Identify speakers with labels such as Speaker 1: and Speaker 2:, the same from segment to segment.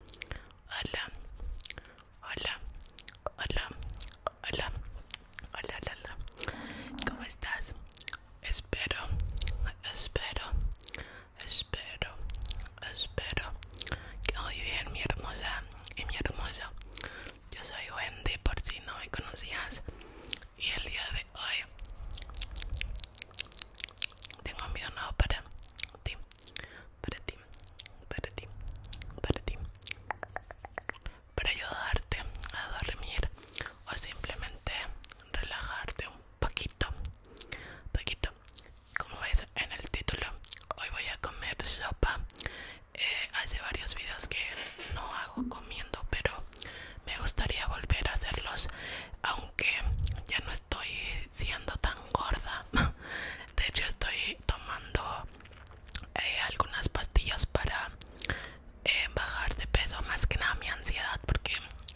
Speaker 1: Hola, hola, hola, hola, hola, hola, ¿cómo estás? Espero, espero, espero, espero que hoy bien, mi hermosa y mi hermoso. Yo soy Wendy, por si no me conocías, y el día de hoy tengo un video nuevo para ti, para para ti, para ti, para ayudarte a dormir o simplemente relajarte un poquito, poquito. Como veis en el título, hoy voy a comer sopa. Eh, hace varios vídeos que no hago comiendo, pero me gustaría volver a hacerlos, aunque ya no estoy siendo tan gorda de hecho estoy tomando eh, algunas pastillas para eh, bajar de peso más que nada mi ansiedad porque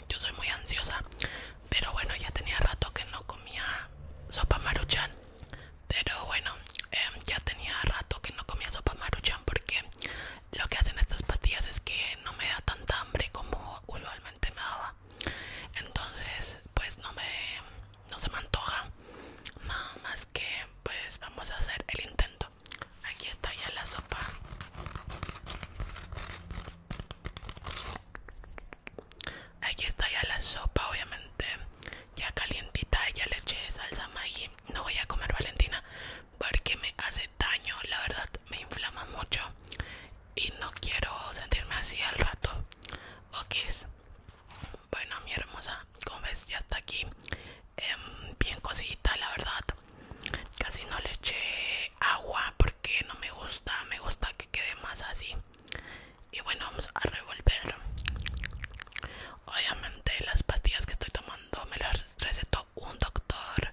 Speaker 1: yo soy muy ansiosa pero bueno ya tenía rato que no comía sopa maruchan pero bueno em, ya tenía rato que no comía sopa maruchan porque lo que hacen estas pastillas es que no me da tanta hambre como usualmente me daba entonces pues no me no se me antoja nada más que pues vamos a hacer el intento aquí está ya la sopa aquí está ya la sopa obviamente ya calientita ya leche salsa maggi no voy a comer valentina porque me hace daño la verdad me inflama mucho y no quiero sentirme así al rato ok bueno mi hermosa como ves ya está aquí em, bien cosita la verdad casi no le eché agua porque no me gusta me gusta que quede más así y bueno vamos a revolver obviamente las pastillas que estoy tomando me las recetó un doctor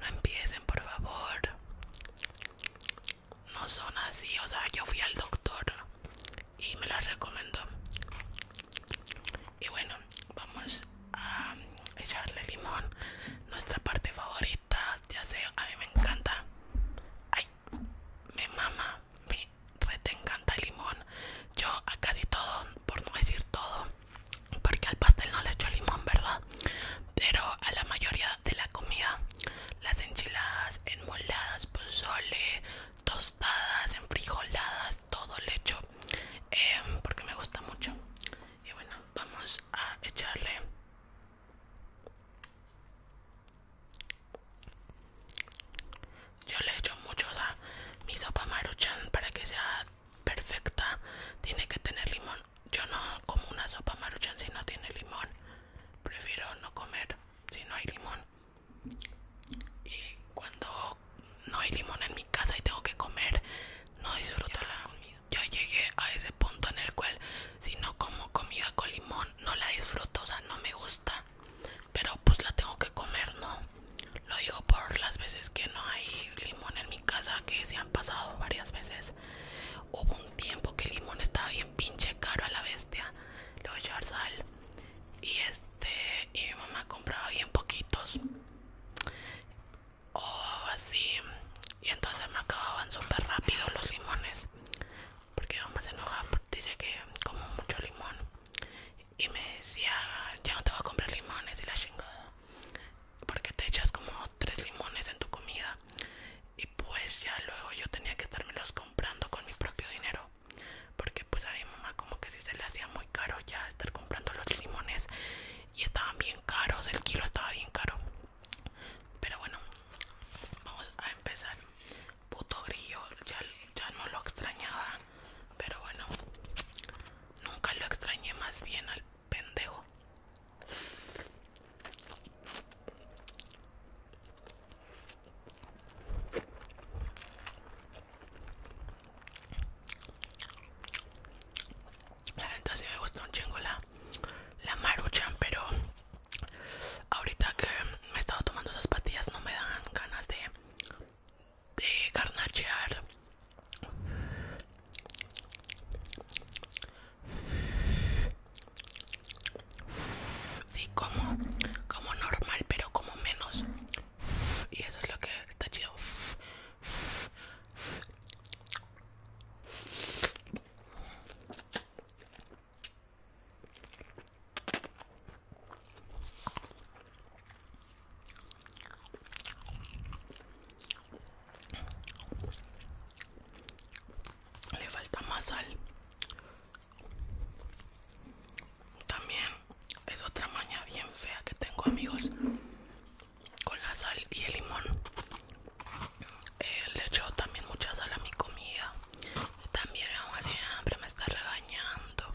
Speaker 1: no empiecen por favor no son así, o sea, yo fui al doctor y me las recomendó. Y bueno, vamos a echarle limón, nuestra parte favorita, ya sé, a mí me encanta. Ay, mi mama, mi rete encanta el limón. Yo a casi todo, por no decir todo, porque al pastel no le echo limón, ¿verdad? pero a la mayoría de la comida las enchiladas enmoladas pozole tostadas enfrijoladas todo le echo em, porque me gusta mucho y bueno vamos a echarle yo le echo mucho a mi sopa maruchan para que sea perfecta tiene que tener limón yo no como una sopa maruchan si no tiene limón. Prefiero no comer si no hay limón. Y cuando no hay limón en mi casa y tengo que comer, no disfruto la comida. Ya llegué a ese punto en el cual si no como comida con limón, no la disfruto, o sea, no me gusta. Pero pues la tengo que comer, ¿no? Lo digo por las veces que no hay limón en mi casa, que se han pasado varias veces. Hubo un tiempo que el limón estaba bien pinche caro a la bestia. a llevar sal. Y este. Y mi mamá compraba bien poquitos. O así. Y entonces me acababan súper rápido los limones. Porque mi mamá se enoja. Dice que como mucho limón. Y me decía, ya no te voy a comprar limones y la chingada porque te echas como tres limones en tu comida y pues ya luego yo tenía que los comprando con mi propio dinero porque pues a mi mamá como que si se le hacía muy caro ya estar comprando los limones y estaban bien caros el kilo estaba bien caro pero bueno vamos a empezar puto grillo ya, ya no lo extrañaba pero bueno nunca lo extrañé más bien al pendejo la me gusta un chingo la, maruchan, pero ahorita que me he estado tomando esas pastillas no me dan ganas de, de garnachear y como, como normal, pero como menos. Y eso es lo que está chido le falta más sal también es otra maña bien fea que tengo amigos con la sal y el limón eh, le echo también mucha sal a mi comida también como siempre me está regañando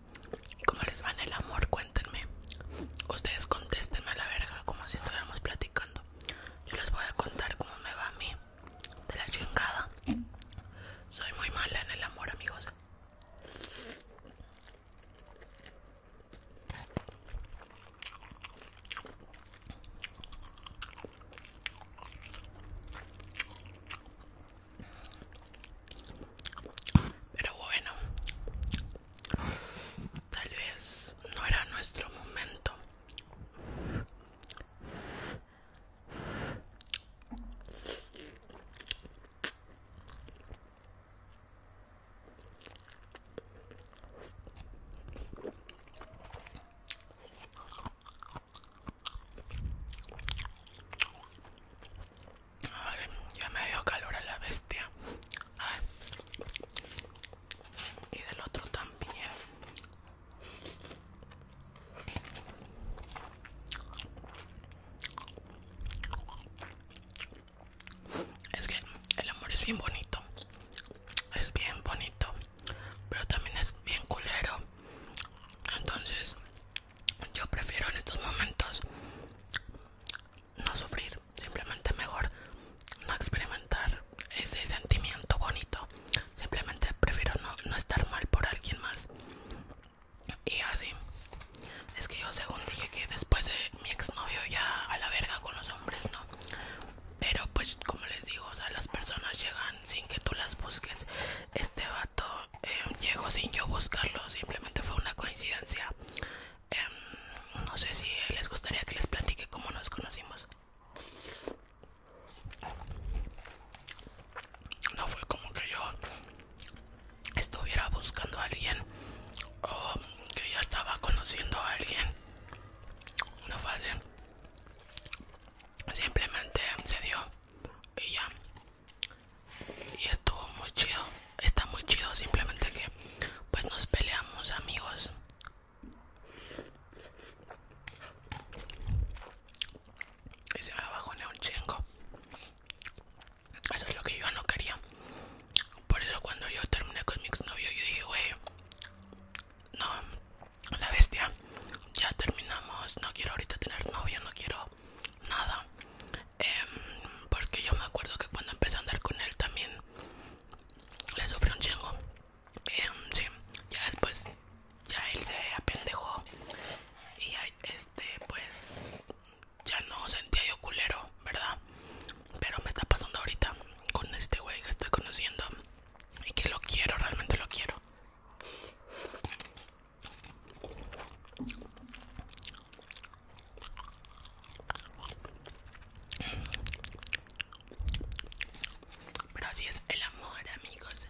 Speaker 1: ¿Cómo les va en el amor? Cuéntenme. Ustedes contéstenme a la verga como si estuviéramos platicando. Yo les voy a contar cómo me va a mí. De la chingada. Soy muy mala en el amor, amigos. Pero bueno, tal vez no era nuestro momento ya me dio calor a la bestia. Y del otro también. Es que el amor es bien bonito. Es bien bonito. Pero también es bien culero. Entonces yo prefiero en estos momentos no sufrir, simplemente mejor no experimentar ese sentimiento bonito, simplemente prefiero no, estar mal por alguien más. Y así, es que yo según dije que después de mi exnovio ya a la verga con los hombres, ¿no? Pero pues como les digo, o sea, las personas llegan sin que tú las busques. Este va Em, llegó sin yo buscarlo, simplemente fue una coincidencia. Em, no sé si les gustaría que les platique cómo nos conocimos. No fue como que yo estuviera buscando a alguien o que ya estaba conociendo a alguien. No fue así. Simplemente se dio y ya y estuvo muy chido está muy chido simplemente que pues nos peleamos amigos y se me en un chingo eso es lo que yo no quería por eso cuando yo terminé con mi exnovio yo dije wey no la bestia ya terminamos no quiero ahorita tener novio no quiero nada em, porque yo me acuerdo que cuando empecé a andar con él también le sufrí un chingo em, sí ya después ya él se apendejó y este pues ya no sentía yo culero verdad pero me está pasando ahorita con este güey que estoy conociendo y que lo quiero realmente lo quiero pero así es el amor, amigos.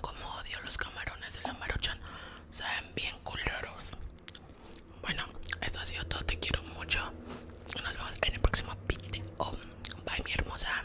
Speaker 1: Como odio los camarones de la Maruchan, saben bien culeros. Bueno, esto ha sido todo. Te quiero mucho. Nos vemos en el próximo video. Bye, mi hermosa.